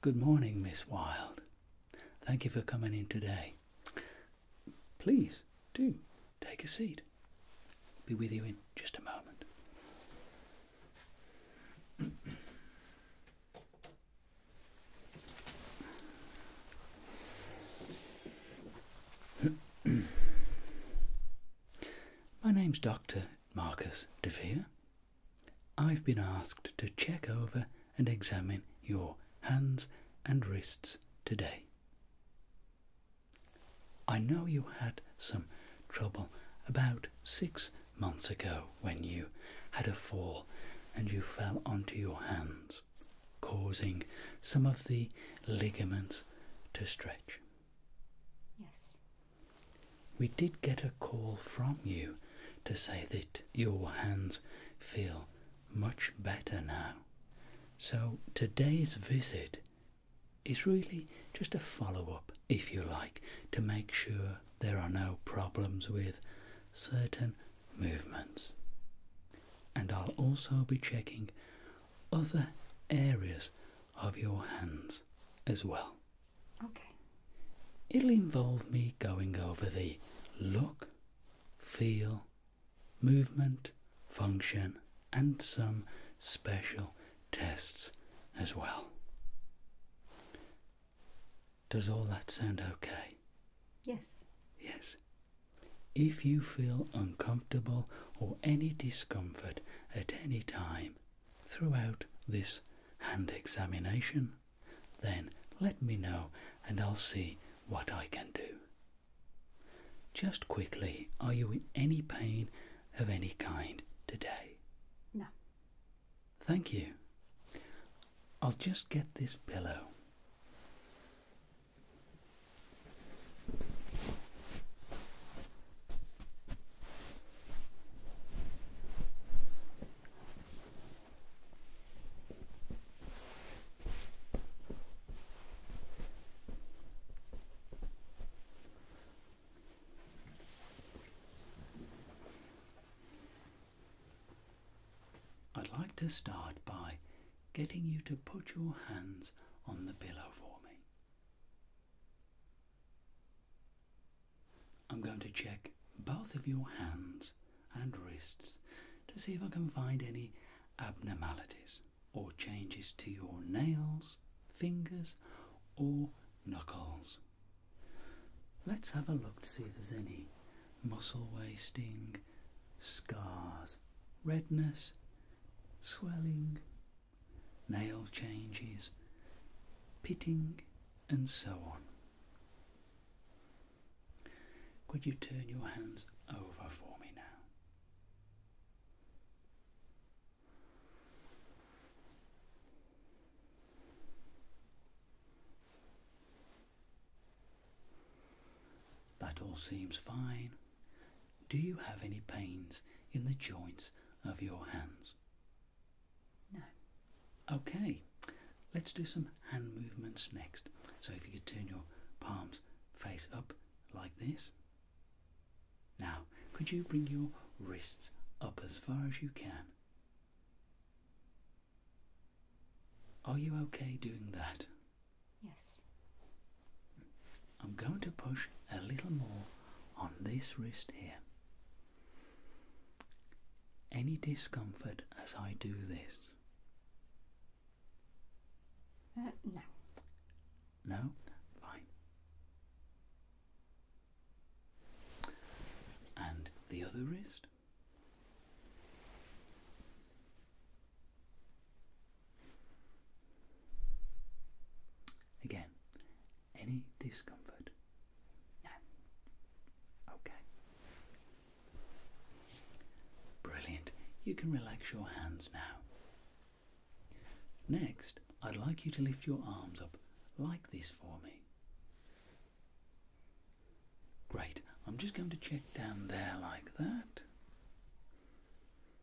Good morning, Miss Wilde. Thank you for coming in today. Please do take a seat. I'll be with you in just a moment. My name's Dr. Marcus DeVere. I've been asked to check over and examine your hands and wrists today. I know you had some trouble about six months ago when you had a fall and you fell onto your hands, causing some of the ligaments to stretch. Yes. We did get a call from you to say that your hands feel much better now. So today's visit is really just a follow up, if you like, to make sure there are no problems with certain movements. And I'll also be checking other areas of your hands as well. Okay. It'll involve me going over the look, feel, movement, function, and some special tests as well. Does all that sound okay? Yes. Yes. If you feel uncomfortable or any discomfort at any time throughout this hand examination, then let me know and I'll see what I can do. Just quickly, are you in any pain of any kind today? No. Thank you. I'll just get this pillow. I'd like to start by getting you to put your hands on the pillow for me. I'm going to check both of your hands and wrists to see if I can find any abnormalities or changes to your nails, fingers, or knuckles. Let's have a look to see if there's any muscle wasting, scars, redness, swelling, nail changes, pitting, and so on. Could you turn your hands over for me now? That all seems fine. Do you have any pains in the joints of your hands? No. Okay, let's do some hand movements next. So if you could turn your palms face up like this. Now, could you bring your wrists up as far as you can? Are you okay doing that? Yes. I'm going to push a little more on this wrist here. Any discomfort as I do this? Uh, no. No? Fine. And the other wrist? Again, any discomfort? No. Okay. Brilliant. You can relax your hands now. Next, I'd like you to lift your arms up like this for me. Great. I'm just going to check down there like that.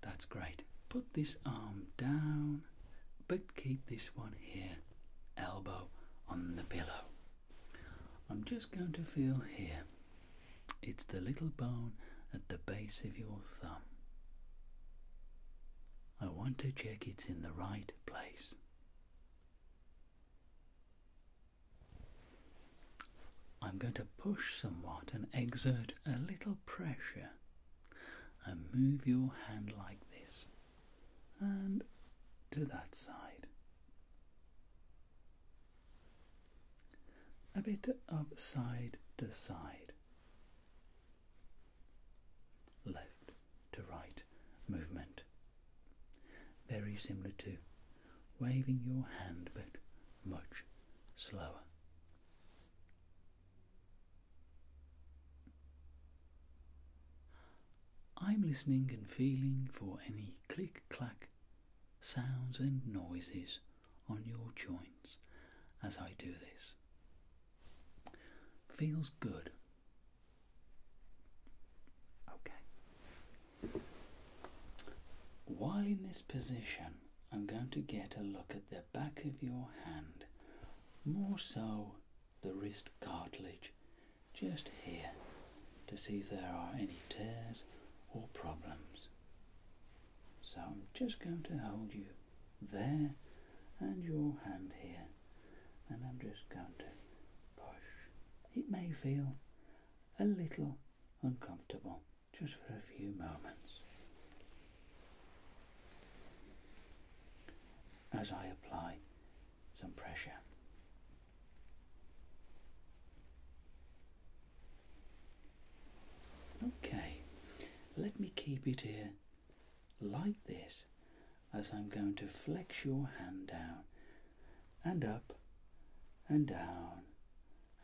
That's great. Put this arm down, but keep this one here, elbow on the pillow. I'm just going to feel here. It's the little bone at the base of your thumb. I want to check it's in the right place. I'm going to push somewhat and exert a little pressure and move your hand like this and to that side. A bit of side to side. Left to right movement. Very similar to waving your hand but much slower. I'm listening and feeling for any click clack sounds and noises on your joints as I do this. Feels good Okay. While in this position, I'm going to get a look at the back of your hand, more so the wrist cartilage, just here, to see if there are any tears or problems. So I'm just going to hold you there and your hand here and I'm just going to push. It may feel a little uncomfortable just for a few moments. As I apply some pressure. Okay, let me keep it here like this as I'm going to flex your hand down and up and down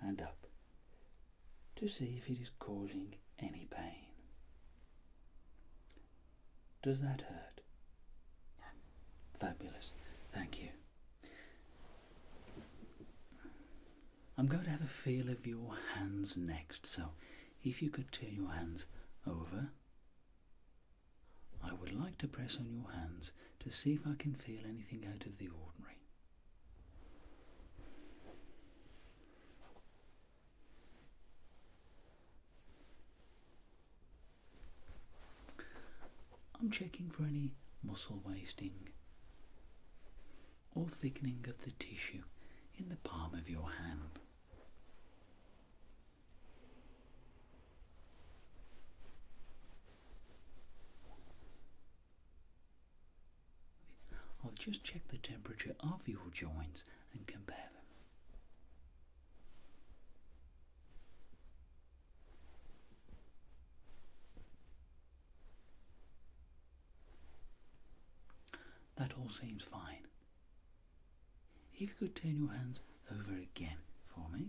and up to see if it is causing any pain. Does that hurt? Fabulous. Thank you. I'm going to have a feel of your hands next, so if you could turn your hands over I would like to press on your hands to see if I can feel anything out of the ordinary. I'm checking for any muscle wasting or thickening of the tissue in the palm of your hand. I'll just check the temperature of your joints and compare them. That all seems fine. If you could turn your hands over again for me.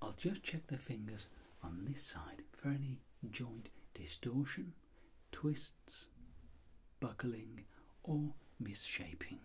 I'll just check the fingers on this side for any joint distortion, twists, buckling, or misshaping.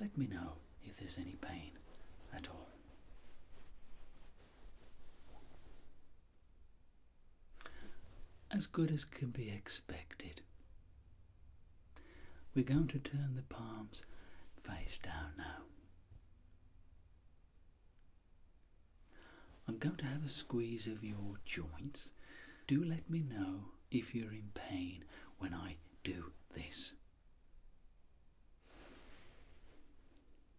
Let me know if there's any pain at all. As good as can be expected. We're going to turn the palms face down now. I'm going to have a squeeze of your joints. Do let me know if you're in pain when I do this.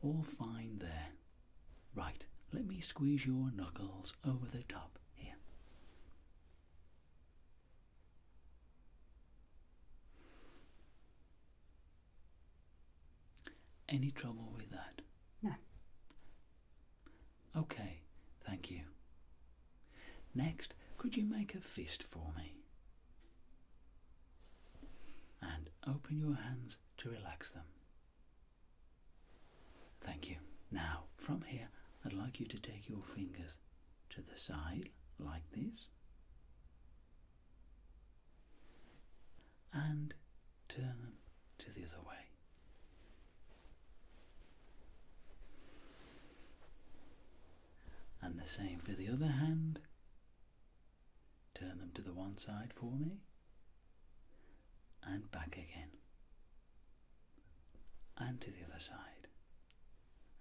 All fine there. Right, let me squeeze your knuckles over the top here. Any trouble with that? No. Okay, thank you. Next, could you make a fist for me? And open your hands to relax them. Thank you. Now, from here, I'd like you to take your fingers to the side like this and turn them to the other way. And the same for the other hand. Turn them to the one side for me and back again and to the other side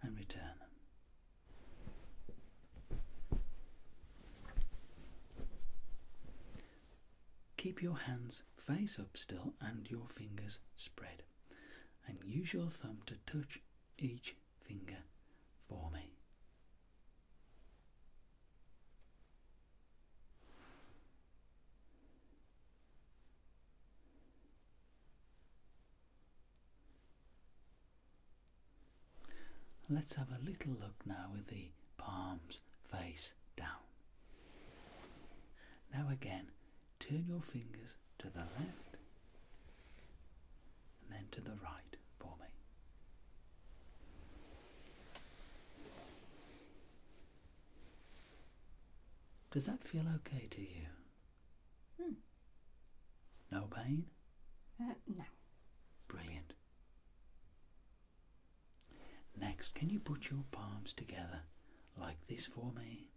and return them. Keep your hands face up still and your fingers spread and use your thumb to touch each finger for me. Let's have a little look now with the palms face down. Now again, turn your fingers to the left and then to the right for me. Does that feel okay to you? Hmm. No pain? Uh, no. Brilliant. Next, can you put your palms together like this for me?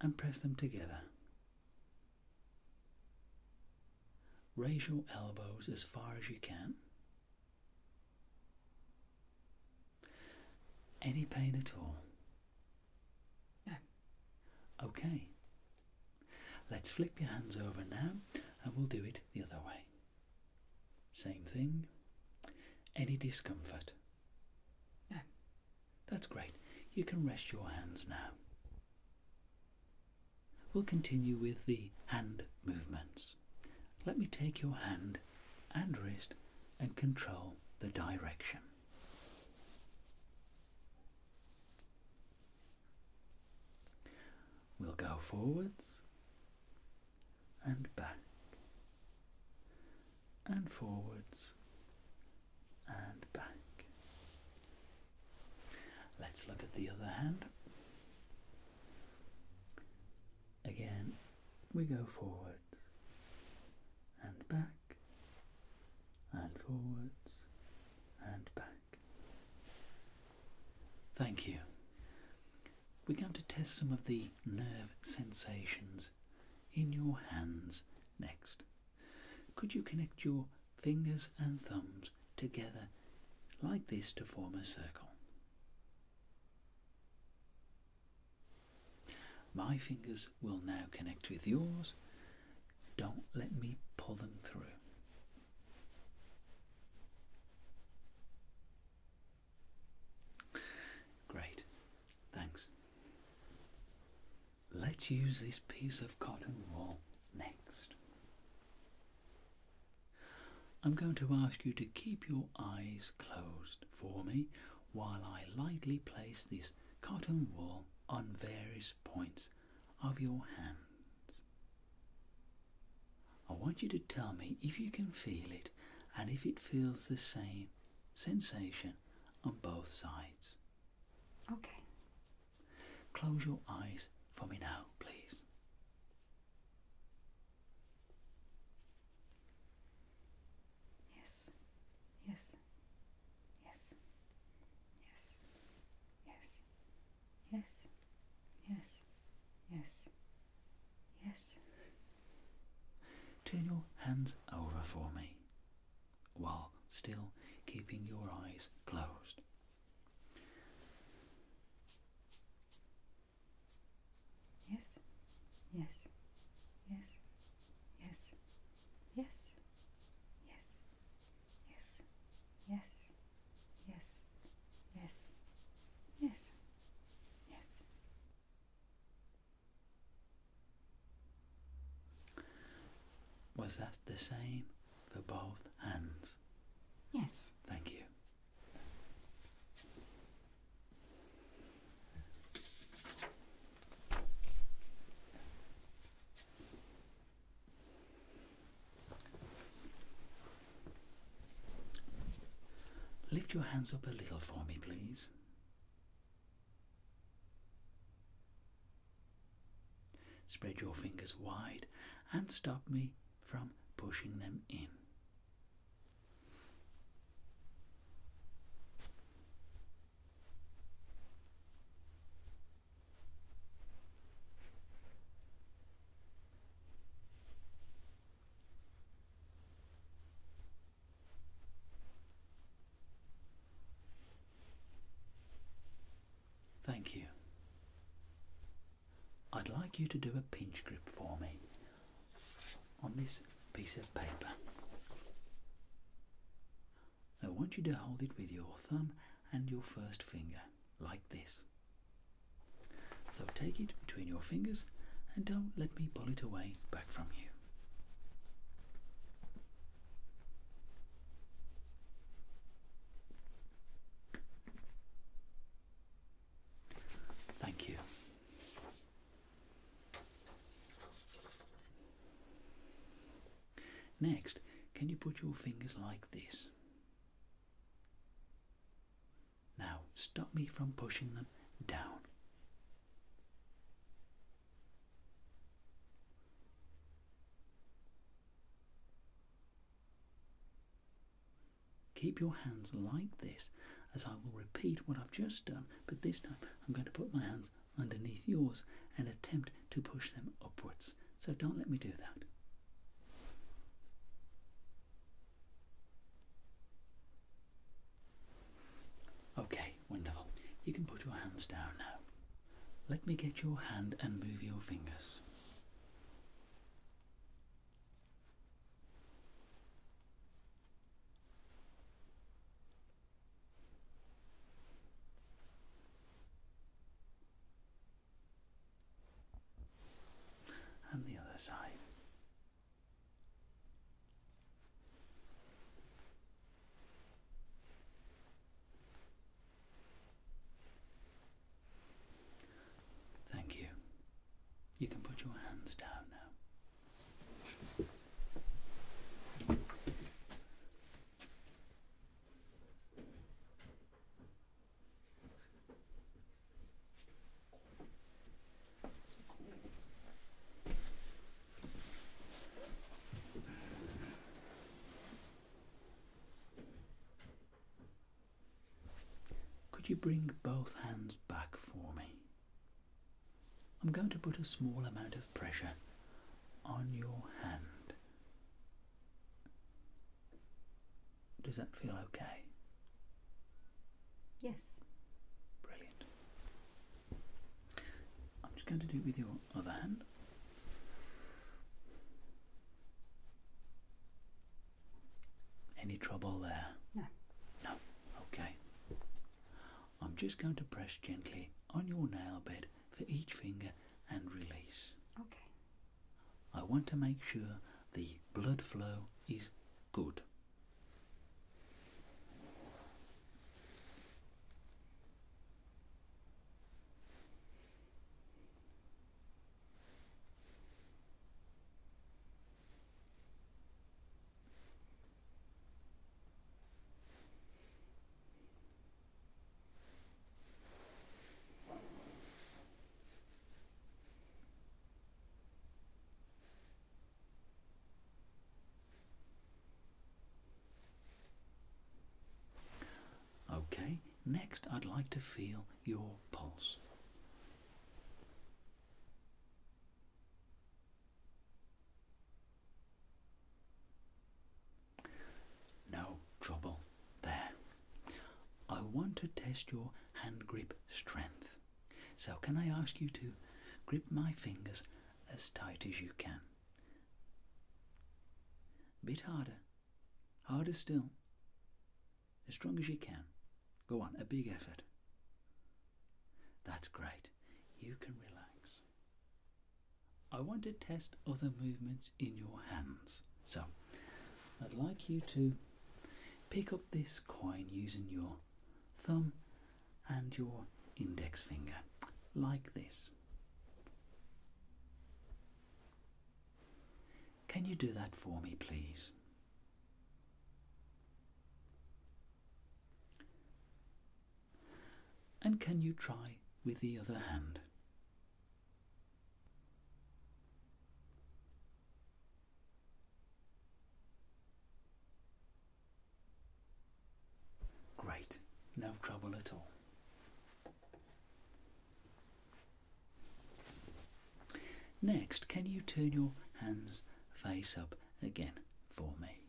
And press them together. Raise your elbows as far as you can. Any pain at all? No. Okay. Let's flip your hands over now and we'll do it the other way. Same thing. Any discomfort? No. That's great. You can rest your hands now. We'll continue with the hand movements. Let me take your hand and wrist and control the direction. We'll go forwards and back and forwards and back. Let's look at the other hand. Again, we go forward and back and forwards and back. Thank you. We're going to test some of the nerve sensations in your hands next. Could you connect your fingers and thumbs together like this to form a circle? My fingers will now connect with yours. Don't let me pull them through. Great, thanks. Let's use this piece of cotton wool next. I'm going to ask you to keep your eyes closed for me while I lightly place this cotton wool on various points of your hands. I want you to tell me if you can feel it and if it feels the same sensation on both sides. Okay. Close your eyes for me now, please. Yes, yes, yes, yes, yes, yes, yes, yes, yes. Turn your hands over for me while still keeping your eyes closed. Yes, yes, yes, yes, yes, yes, yes, yes, yes, yes, yes, yes. Was that the same for both hands? Yes. Thank you. Lift your hands up a little for me, please. Spread your fingers wide and stop me from pushing them in. Thank you. I'd like you to do a pinch grip for me on this piece of paper. I want you to hold it with your thumb and your first finger, like this. So take it between your fingers and don't let me pull it away back from you. Thank you. Next, can you put your fingers like this? Now, stop me from pushing them down. Keep your hands like this as I will repeat what I've just done but this time I'm going to put my hands underneath yours and attempt to push them upwards. So don't let me do that. Okay, wonderful. You can put your hands down now. Let me get your hand and move your fingers. And the other side. Thank you. You can put your hands down now. Could you bring both hands back for me? I'm going to put a small amount of pressure on your hand. Does that feel okay? Yes. Brilliant. I'm just going to do it with your other hand. Any trouble there? No. No. Okay. I'm just going to press gently on your nail bed for each finger and release. Okay. I want to make sure the blood flow is good. Okay, next I'd like to feel your pulse. No trouble there. I want to test your hand grip strength. So, can I ask you to grip my fingers as tight as you can? A bit harder. Harder still. As strong as you can. Go on, a big effort. That's great. You can relax. I want to test other movements in your hands. So, I'd like you to pick up this coin using your thumb and your index finger, like this. Can you do that for me, please? And can you try with the other hand? Great, no trouble at all. Next, can you turn your hands face up again for me.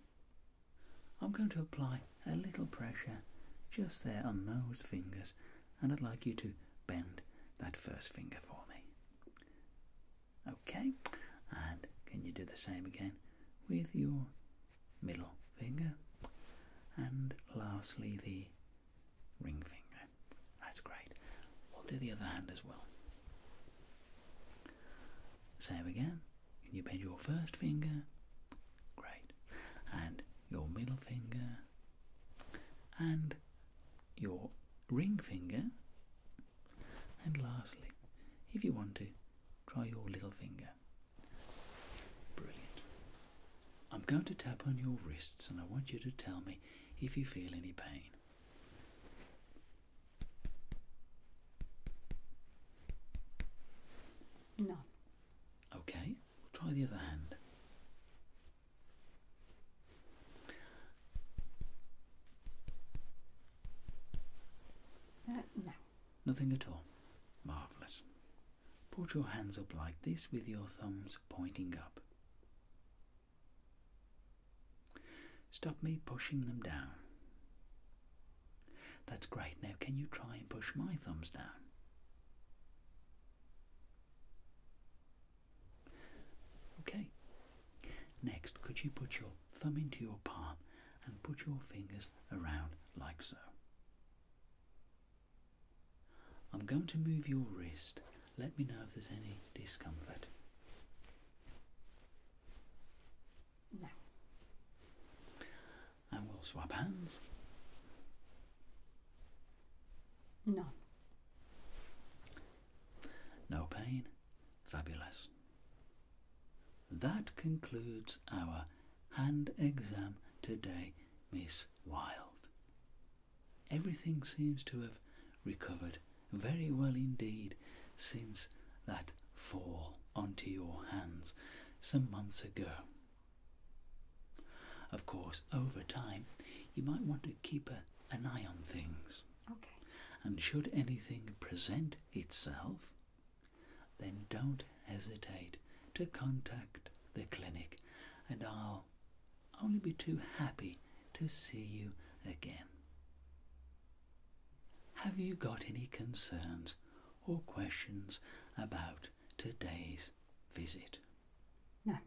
I'm going to apply a little pressure just there on those fingers, and I'd like you to bend that first finger for me. Okay, and can you do the same again with your middle finger and lastly the ring finger? That's great. We'll do the other hand as well. Same again. Can you bend your first finger? Great. And your middle finger. And your ring finger. And lastly, if you want to, try your little finger. Brilliant. I'm going to tap on your wrists and I want you to tell me if you feel any pain. None. Okay, we'll try the other hand. Uh, no. Nothing at all. Marvellous. Put your hands up like this with your thumbs pointing up. Stop me pushing them down. That's great. Now, can you try and push my thumbs down? Okay. Next, could you put your thumb into your palm and put your fingers around like so? I'm going to move your wrist. Let me know if there's any discomfort. No. and we'll swap hands. None. No pain. Fabulous. That concludes our hand exam today, Miss Wilde. Everything seems to have recovered very well indeed since that fall onto your hands some months ago. Of course, over time, you might want to keep an eye on things. And should anything present itself, then don't hesitate to contact the clinic, and I'll only be too happy to see you again. Have you got any concerns or questions about today's visit? No.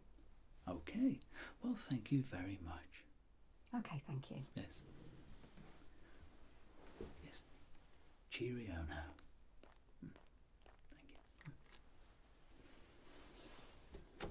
Okay. Well, thank you very much. Okay, thank you. Yes. Yes. Cheerio now. Hmm. Thank you.